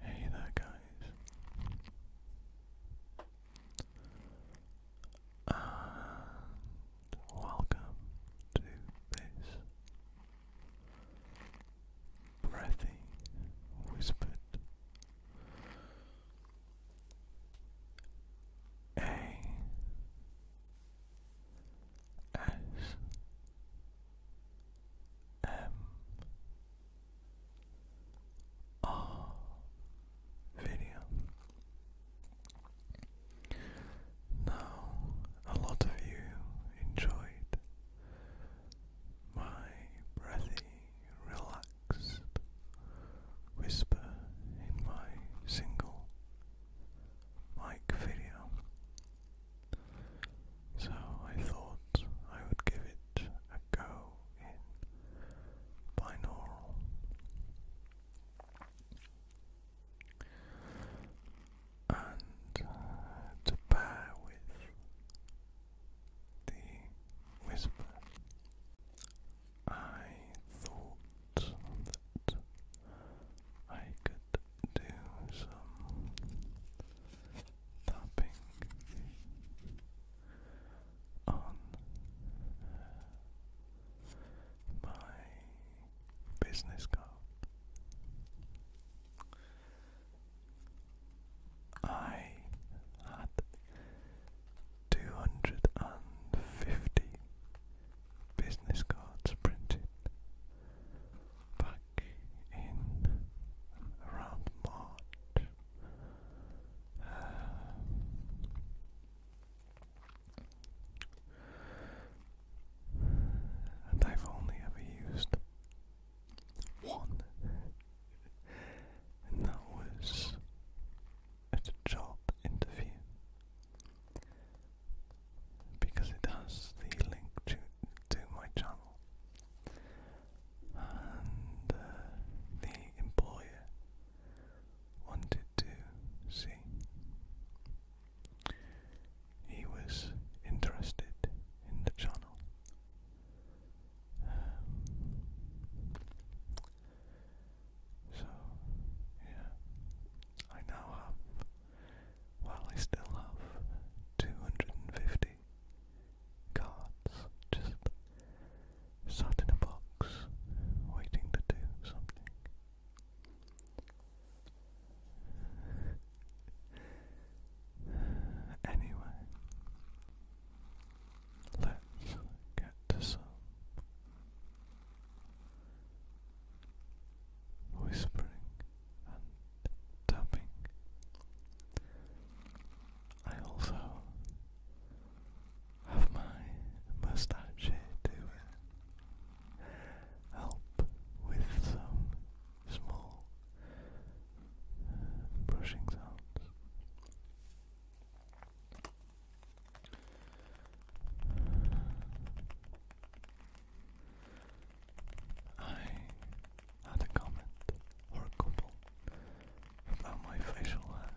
Hey there, guys, and welcome to this breathy, whispered A S M R video. Now, a lot of you enjoyed my breathy, relaxed whisper in my single mic video. So I thought I would give it a go in binaural. And uh, to pair with the whisper, I thought that I could do some tapping on my business card. I had two hundred and fifty business cards printed back in around March. Uh, and I've only ever used one, and that was at a job interview because it has the link to to my channel. And uh, the employer wanted to see. He was interested in the channel. Um, so, yeah, I now have, well, I still have 250 cards just sat in a box waiting to do something. Anyway, let's get to some whispering and tapping. I also have my mustache here to help with some small uh, brushing sounds. I had a comment or a couple about my facial hair.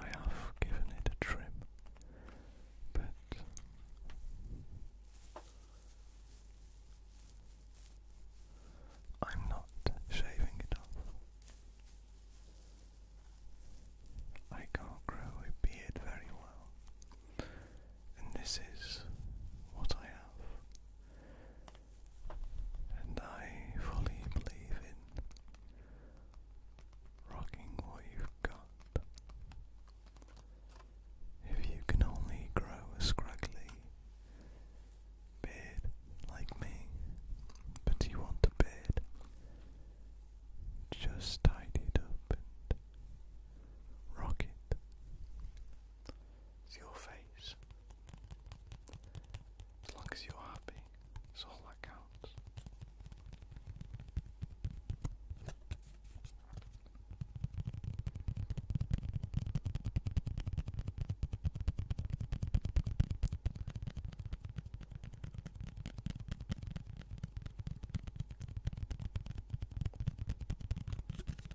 I have given it a trim, but I'm not shaving it off. I can't grow a beard very well, and this is what I have and I fully believe in rocking what you've got. If you can only grow a scraggly beard like me, but you want a beard, just tidy it up and rock it. It's your face. As long as you're happy, that's all that counts.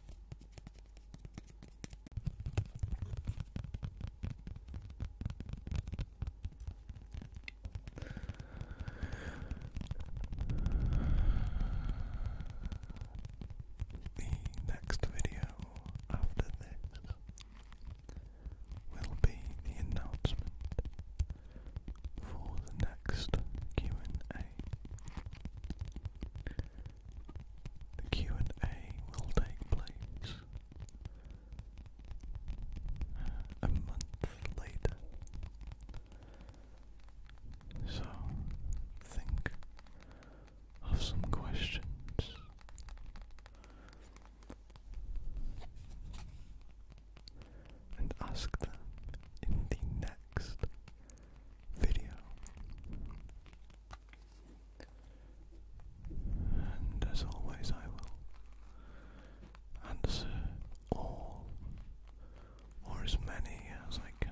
The next video after this will be the announcement for the next q the Q and A will take place uh, a month later. So think of some questions. And ask them in the next video. And as always, I will answer all or as many as I can.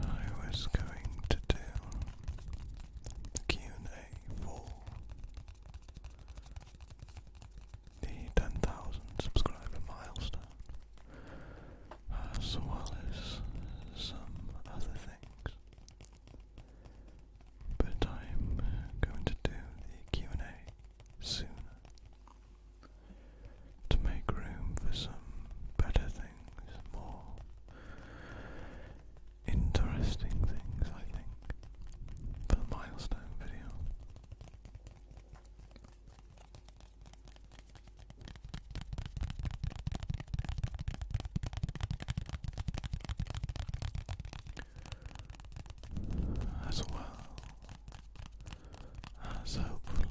I was going to do Q&A for the 10,000 subscriber milestone, as well as some other things. But I'm going to do the Q&A sooner to make room for some better things, interesting things, I think, for the milestone video. As well as hopefully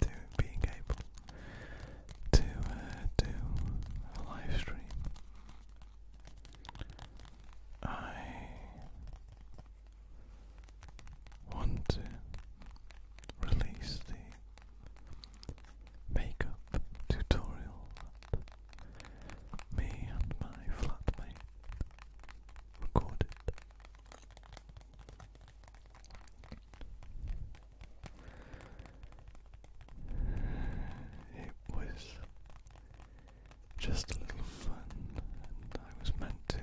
to being able to uh, do a live stream. I want to release the makeup tutorial that me and my flatmate recorded. It was just a little fun, I was meant to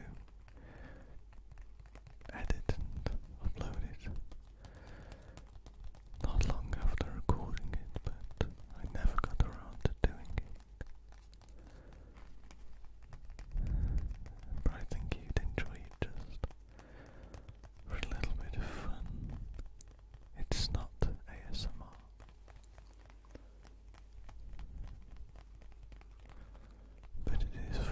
edit and upload it not long after recording it, but I never got around to doing it. But I think you'd enjoy just for a little bit of fun. It's not ASMR. But it is fun.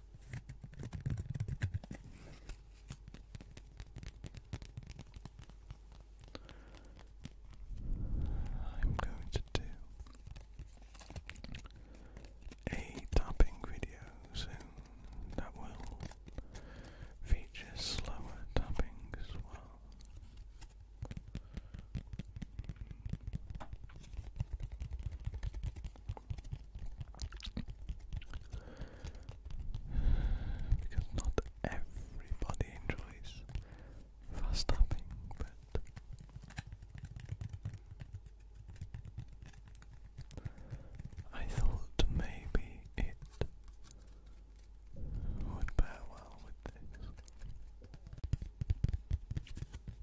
I'm going to do a tapping video soon that will feature slower tapping as well because not everybody enjoys fast tapping, but I thought maybe it would pair well with this.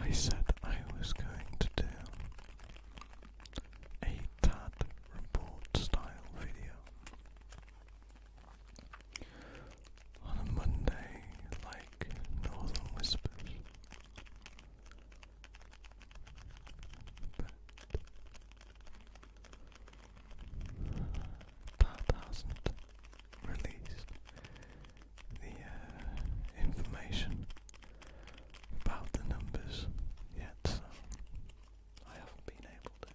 I said I was going to do a tad report style video on a Monday like Northern Whispers. But that not released the uh, information about the numbers yet, I haven't been able to.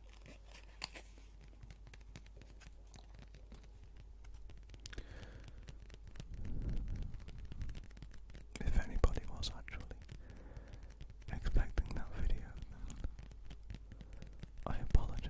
If anybody was actually expecting that video, I apologize.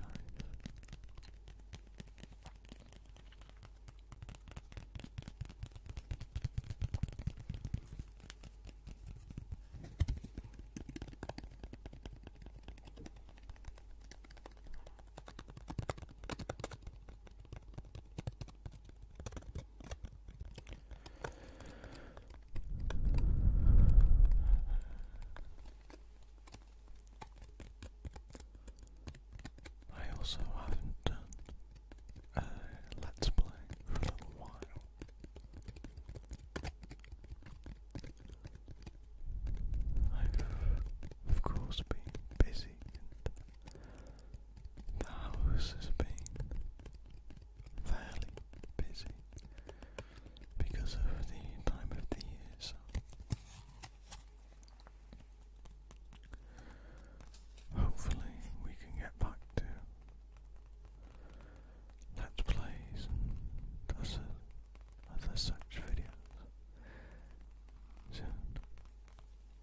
I also haven't done uh, let's play for a little while. I've of course been busy uh, the house has been fairly busy because of the time of the year, hopefully we can get back to let plays other such videos soon.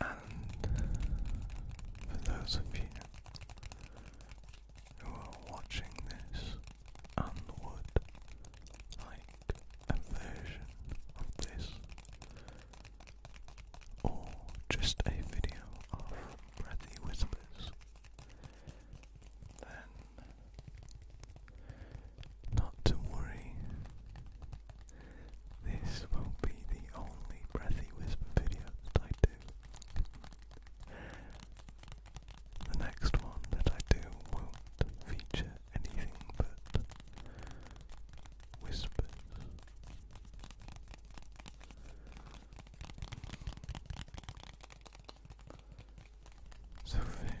And for those of you who are watching this and would like a version of this or just a video of breathy whispers, then not to worry, this won't be the only breathy whisper video that I do. The next one that I do won't feature anything but whispers. So fear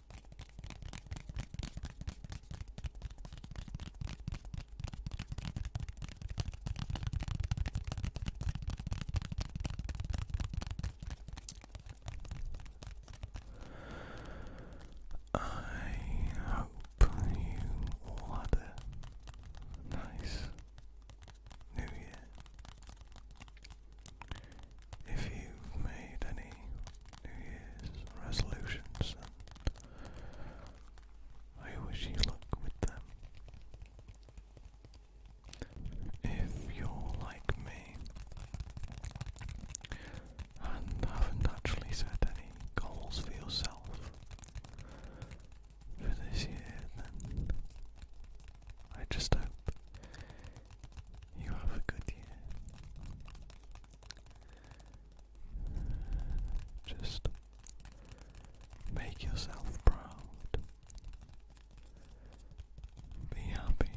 I hope you had a nice new year. If you've made any New Year's resolutions, and I wish you luck with them. If you're like me and haven't actually set any goals for yourself for this year, then I just hope you have a good year. Just make yourself proud. Be happy.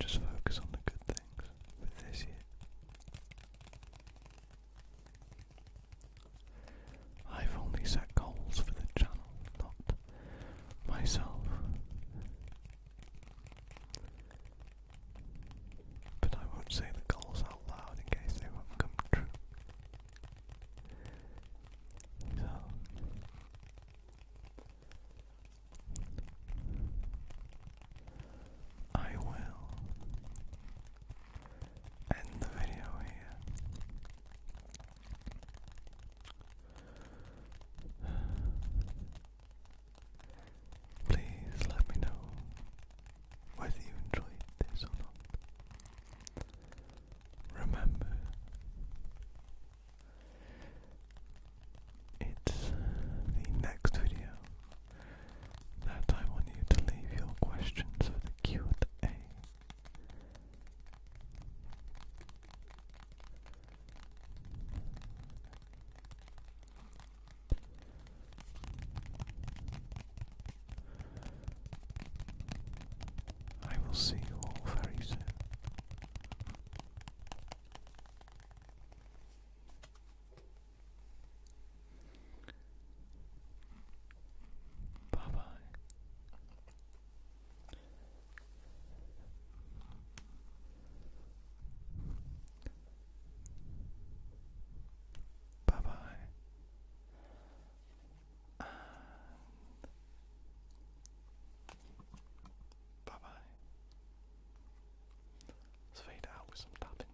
Just focus on the good things for this year. I've only set goals for the channel, not myself. But I won't say the goals out loud in case they won't come true. So I will end the video here. Please let me know whether you enjoyed this or not. Remember, it's the next video that I want you to leave your questions for the Q&A. I will see you all very soon. Bye bye. Bye bye. bye bye. Let's fade out with some tapping.